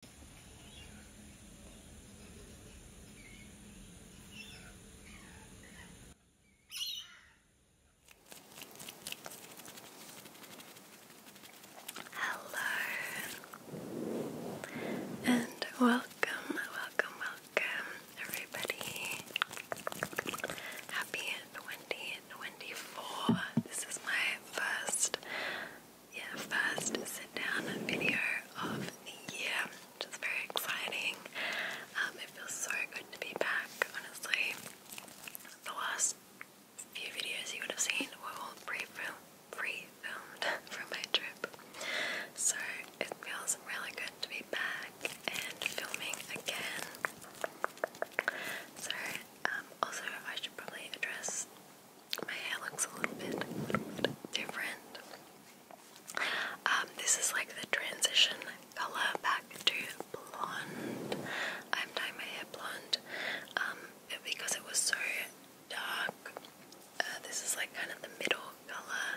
Hello and welcome, welcome, welcome, everybody. Happy 2024. This is my first yeah, first sit down video of the year, It's is very exciting. Um, it feels so good to be back, honestly. The last few videos you would have seen were all pre-filmed pre filmed from my trip. So it feels really good to be back and filming again. So um, also I should probably address my hair looks a little bit, different. Um, this is like the transition color back to blonde. I'm dyeing my hair blonde um, because it was so dark. Uh, this is like kind of the middle color,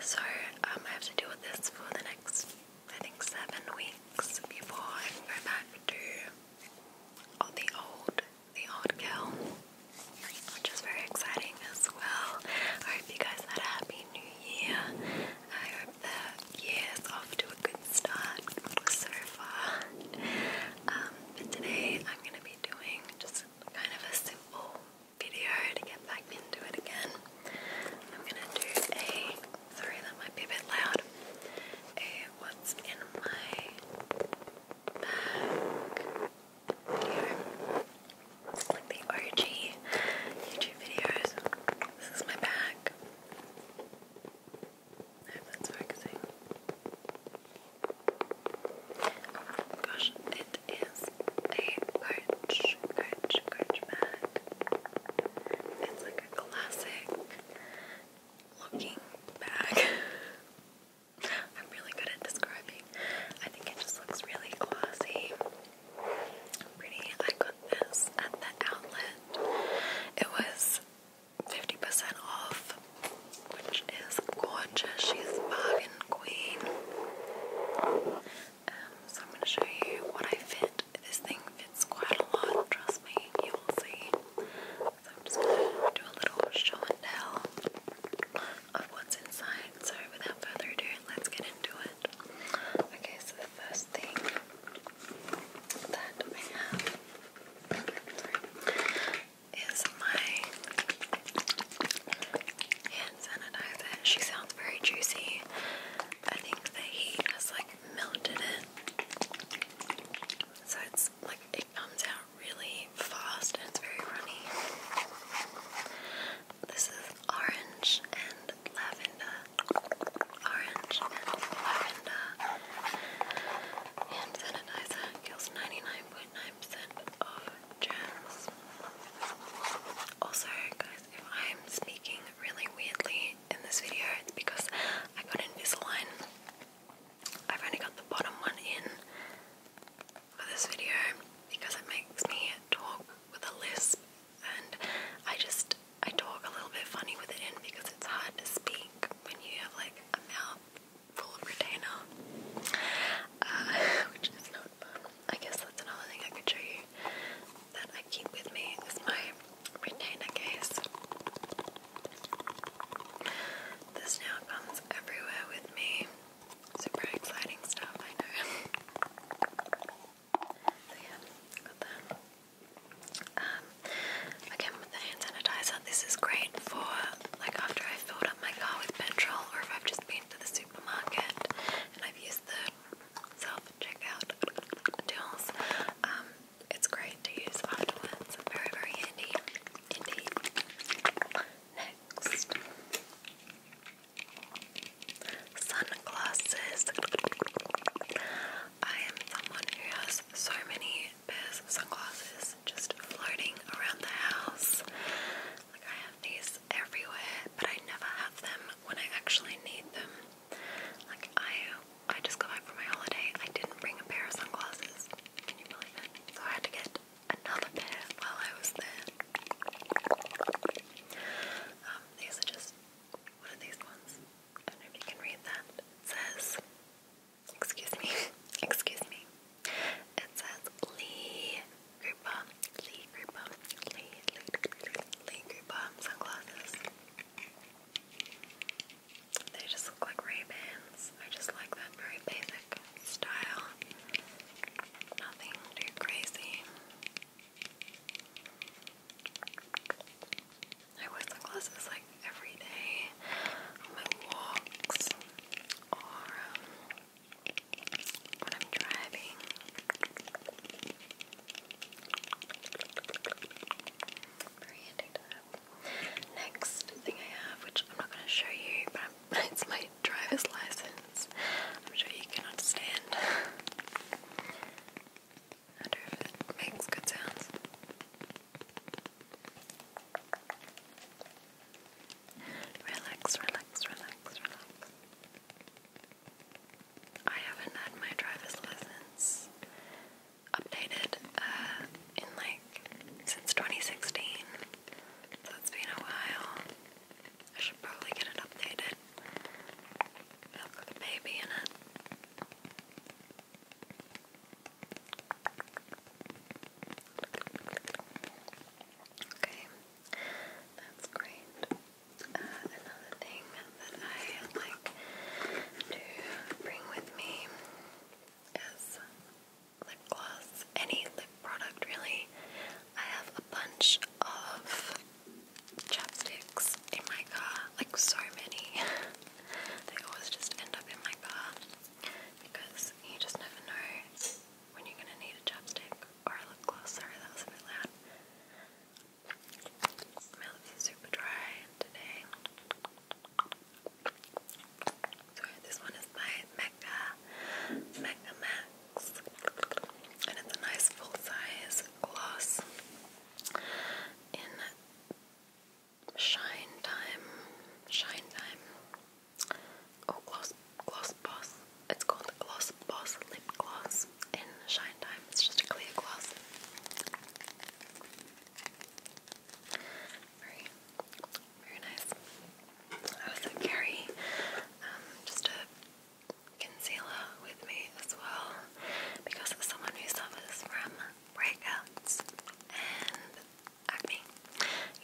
so um, I have to deal with this for the next, I think, seven weeks before I go back to all the old the old girl, which is very exciting as well. I hope you guys had a happy new year. I hope the year is off to a good start so far. Um, but today I'm going to be doing just kind of a simple video to get back into it again. I'm going to do a, sorry that might be a bit loud, a what's in my bag here. Like the RG YouTube videos. This is my bag. I hope that's focusing. Oh gosh, it is a coach, coach, coach bag. It's like a classic looking back. I'm really good at describing. I think it just looks really classy. Pretty. I got this at the outlet. It was 50% off, which is gorgeous. She's bargain queen. Um, so I'm going to show you what I fit. This thing fits quite a lot, trust me, you will see. So I'm just gonna do a little show and tell of what's inside. So without further ado, let's get into it. Okay, so the first thing that I have is my hand sanitizer. She sounds very juicy. I think the heat has like melted it. So it's like it comes out really fast and it's very runny. This is orange and lavender. Orange and lavender. And sanitizer kills 99.9% of germs. Also, guys, if I'm speaking really weirdly in this video because I got Invisalign. I've only got the bottom one in for this video because it makes me talk with a lisp and I just I talk a little bit funny with it in because it's hard to speak when you have like a mouth full of retainer uh, which is not I guess that's another thing I could show you that I keep with me is my retainer case. This now comes everywhere with me. Super exciting stuff, I know. so yeah, got that. Um, again with the hand sanitizer, this is great for like after I filled up my car with petrol or if I've just been to the supermarket and I've used the self-checkout tools. Um, it's great to use afterwards. Very, very handy Next, sunglasses. I am someone who has so many pairs of sunglasses just floating around the house. Like I have these everywhere, but I never have them when I actually need them. Like I, I just got back from my holiday. I didn't bring a pair of sunglasses. Can you believe it? So I had to get another pair while I was there. Um, these are just what are these ones? I don't know if you can read that. It says, excuse me, excuse me. It says Lee Cooper, Lee Cooper, Lee Lee Lee, Lee sunglasses. They just look like Ray-Bans. I just like that very basic style. Nothing crazy. I wear sunglasses like every day on my walks or um, when I'm driving. Next thing I have, which I'm not going to show you, but it's my driver's license. I'm sure you can understand. wonder if it makes good sounds. Relax, relax, relax, relax. I haven't had my driver's license updated uh, in like since 2016, so it's been a while. I should probably get it updated. I've got a baby in it. Okay, that's great another thing that I like to bring with me is lip gloss. Any lip product, really. I have a bunch of chapsticks in my car, like so many. they always just end up in my car because you just never know when you're gonna need a chapstick or a lip gloss. Sorry, that was a bit Melody Super Dry today. So this one is by Mecca, Mecca Max. And it's a nice full-size gloss in Shine Time. Shine Time. Oh, Gloss, Gloss Boss. It's called the Gloss Boss Lip Gloss in Shine Time. It's just a clear gloss. Very, very nice. I also carry um, just a concealer with me as well because as someone who suffers from breakouts and acne,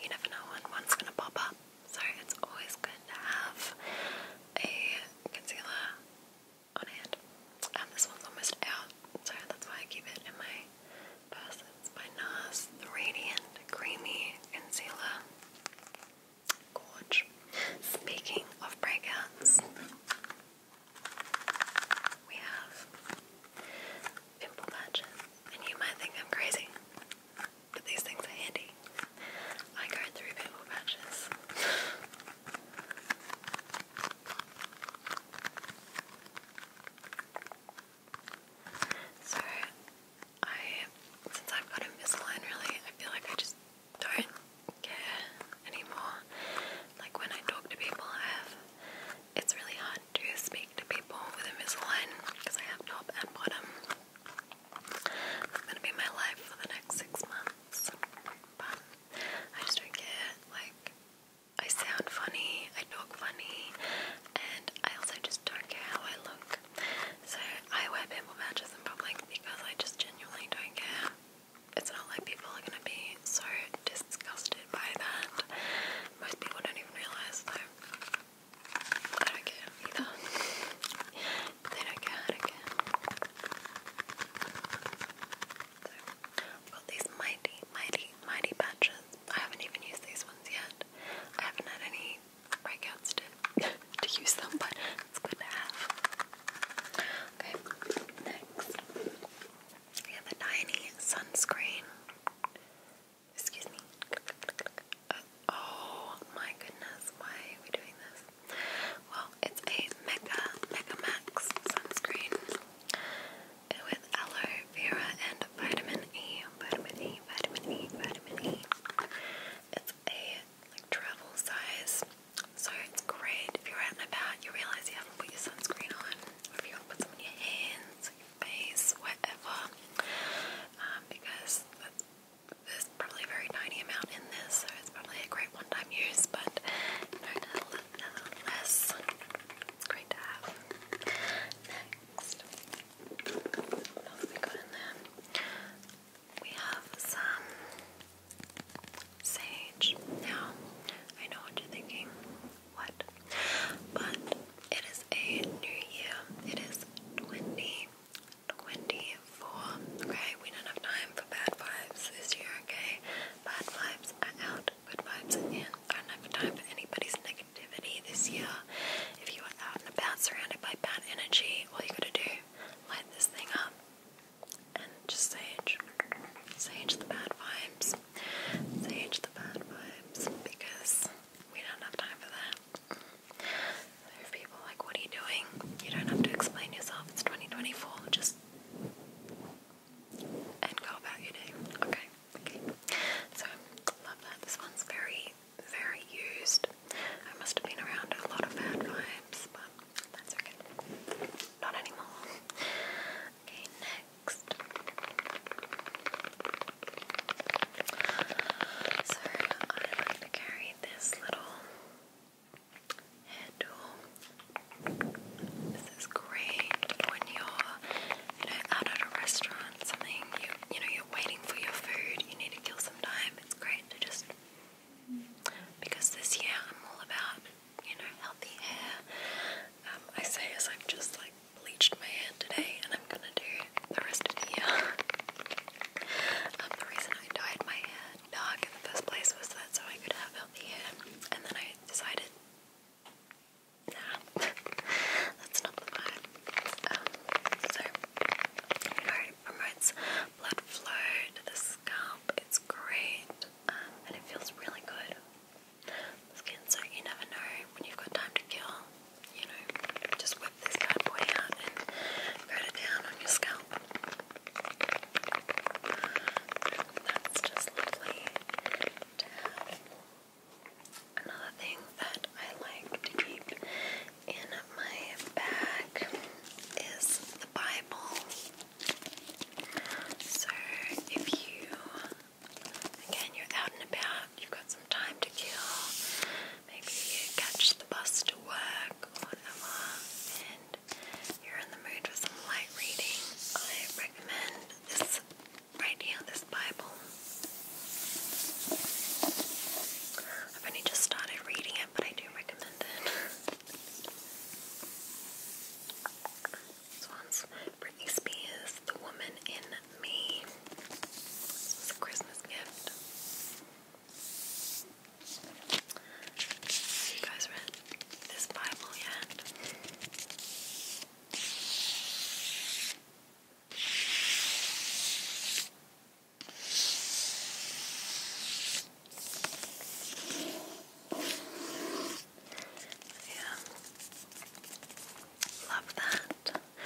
you never know when one's gonna pop up. So it's always good to have a concealer on hand. Um, this one's almost out, so that's why I keep it in my purse. It's by NARS, the Radiant Creamy Concealer. Gorge. Speaking of breakouts, we have pimple patches, and you might think I'm crazy, but these things are handy. I go through pimple patches. so I, since I've got Invisalign, really, I feel like I just don't care anymore. Like when I talk to people, I have. It's really hard to speak to people with Invisalign because I have top and bottom. It's gonna be my life for the next six months. But I just don't care. Like, I sound funny, I talk funny, and I also just don't care how I look. So I wear pimple patches in public because I just genuinely don't care. It's not like people are gonna be so disgusted by that. Most people don't even realise I don't care either. Then I can again. So, I've got these mighty, mighty, mighty patches. I haven't even used these ones yet. I haven't had any breakouts to, to use them, but it's good to have. Okay, next. We have a tiny sunscreen. Excuse me oh my goodness, why are we doing this? Well, it's a Mega Mega Max sunscreen with aloe vera and vitamin E, vitamin E, vitamin E, vitamin E. It's a like travel size, so it's great if you're out and about. You realize you haven't put your sunscreen on, or if you want to put some on your hands, your face, whatever, um, because there's probably a very tiny amount in this, so it's probably a great one-time use, but nonetheless, it's great to have. Next, what else we got in there? We have some sage. Now, I know what you're thinking. What? But it is a new year. It is 20 24. Okay, we don't have time for bad vibes this year, okay? Bad vibes are out, good vibes are in. I don't have time for anybody's negativity this year. If you are out and about surrounded by bad energy, all you gotta do, light this thing up and just sage. Sage the bad vibes. Sage the bad vibes because we don't have time for that. There are people like, what are you doing? You don't have to explain yourself. It's 2024. Just and go about your day. Okay, okay. So love that. This one's very, very used. I must have been around a lot of bad vibes, but that's okay. Not anymore. Okay, next. So I'm to carry this little handle. This is great when you're, you know, out at a restaurant, something you, you know, you're waiting for your food. You need to kill some time. It's great to just because this year I'm all about, you know, healthy hair. Um, I say as I've just like bleached my hair today, and I'm gonna do the rest of the year. Um, reason I dyed my hair dark in the first place was that so I could have healthy hair, and then I decided, nah, that's not the vibe. Um, so, you know, blood flow to the scalp, it's great, um, and it feels really good. Skin, so you never know when you've got time to kill you know, just whip this bad boy out and write it down on your scalp. That's just lovely to have. Another thing that I like to keep in my bag is the Bible. So if you, again, you're out and about You've got some time to kill. Maybe you catch the bus to work or whatever, and you're in the mood for some light reading. I recommend this right here, this Bible. I've only just started reading it, but I do recommend it. this one's Britney Spears, The Woman in Me. This a Christmas gift. you guys read this Bible yet? Yeah. Love that. Um,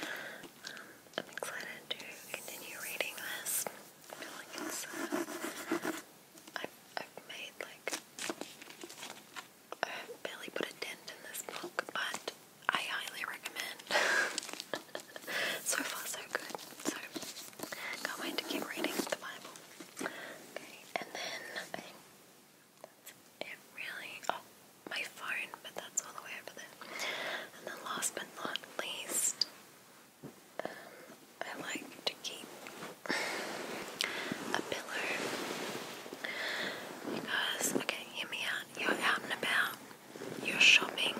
I'm excited to continue reading this. I feel like uh, I've, I've made like, barely put a dent in this book, but I highly recommend. so far, so good. So, can't wait to keep reading the Bible. Okay, and then it really, oh, my phone, but that's all the way over there. And then last but not least, I like to keep a pillow because, okay, hear me out, you're out and about, you're shopping,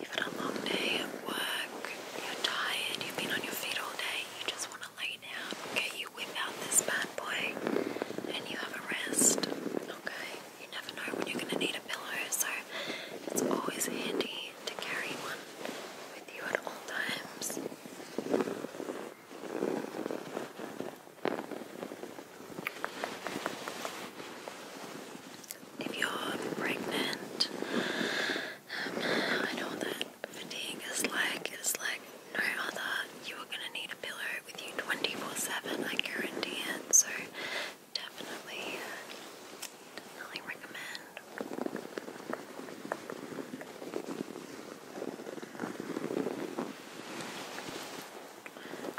you've had a long day at work, you're tired, you've been on your feet all day, you just want to lay down, get you whip out this bad boy and you have a rest. Okay? You never know when you're gonna need a pillow, so it's always handy to carry one with you at all times. If you're pregnant, um, I know that fatigue is like, it's like no other. You are going to need pillow with you 24-7, I guarantee it. So definitely, definitely recommend.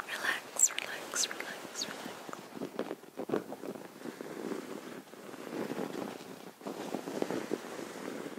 Relax, relax, relax, relax.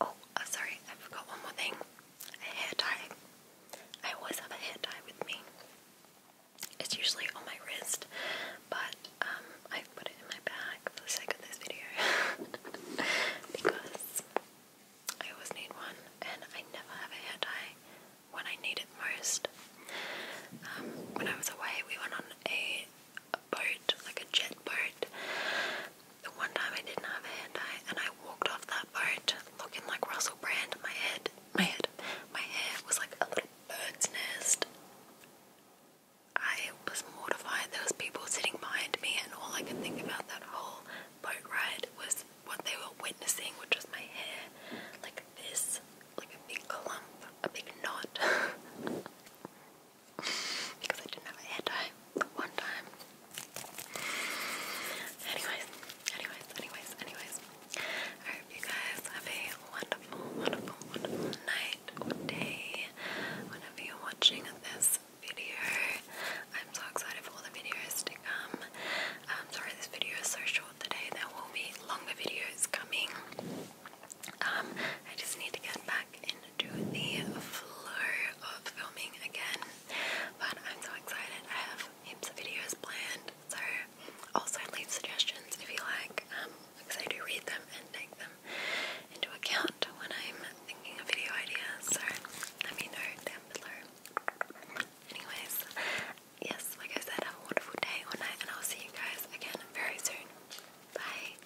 Oh, sorry, I forgot one more thing. A hair tie. I always have a hair tie with me. It's usually on my wrist, but um, I put it in my bag for the sake of this video because I always need one, and I never have a hair tie when I need it most. Um, when I away, we went on a boat, like a jet boat, the one time I didn't have a hand dye and I walked off that boat looking like Russell Brand. My head, my head, my hair was like a little bird's nest. I was mortified. There was people sitting behind me and all I could think about that whole boat ride was what they were witnessing, which was my hair like this, like a big clump, a big knot. because I didn't have a hair tie the one time. Anyways, anyways, anyways, anyways. I hope you guys have a wonderful, wonderful, wonderful night or day whenever you watching this video. I'm so excited for all the videos to come. I'm um, sorry this video is so short today. There will be longer videos coming. Um, I just need to get back in do the floor of filming again. But I'm so excited. I have heaps of videos planned. So also leave suggestions if you like, I'm um, excited to read them and take them into account when I'm thinking of video ideas. So let me know down below. Anyways, yes, like I said, have a wonderful day night, and I'll see you guys again very soon. Bye.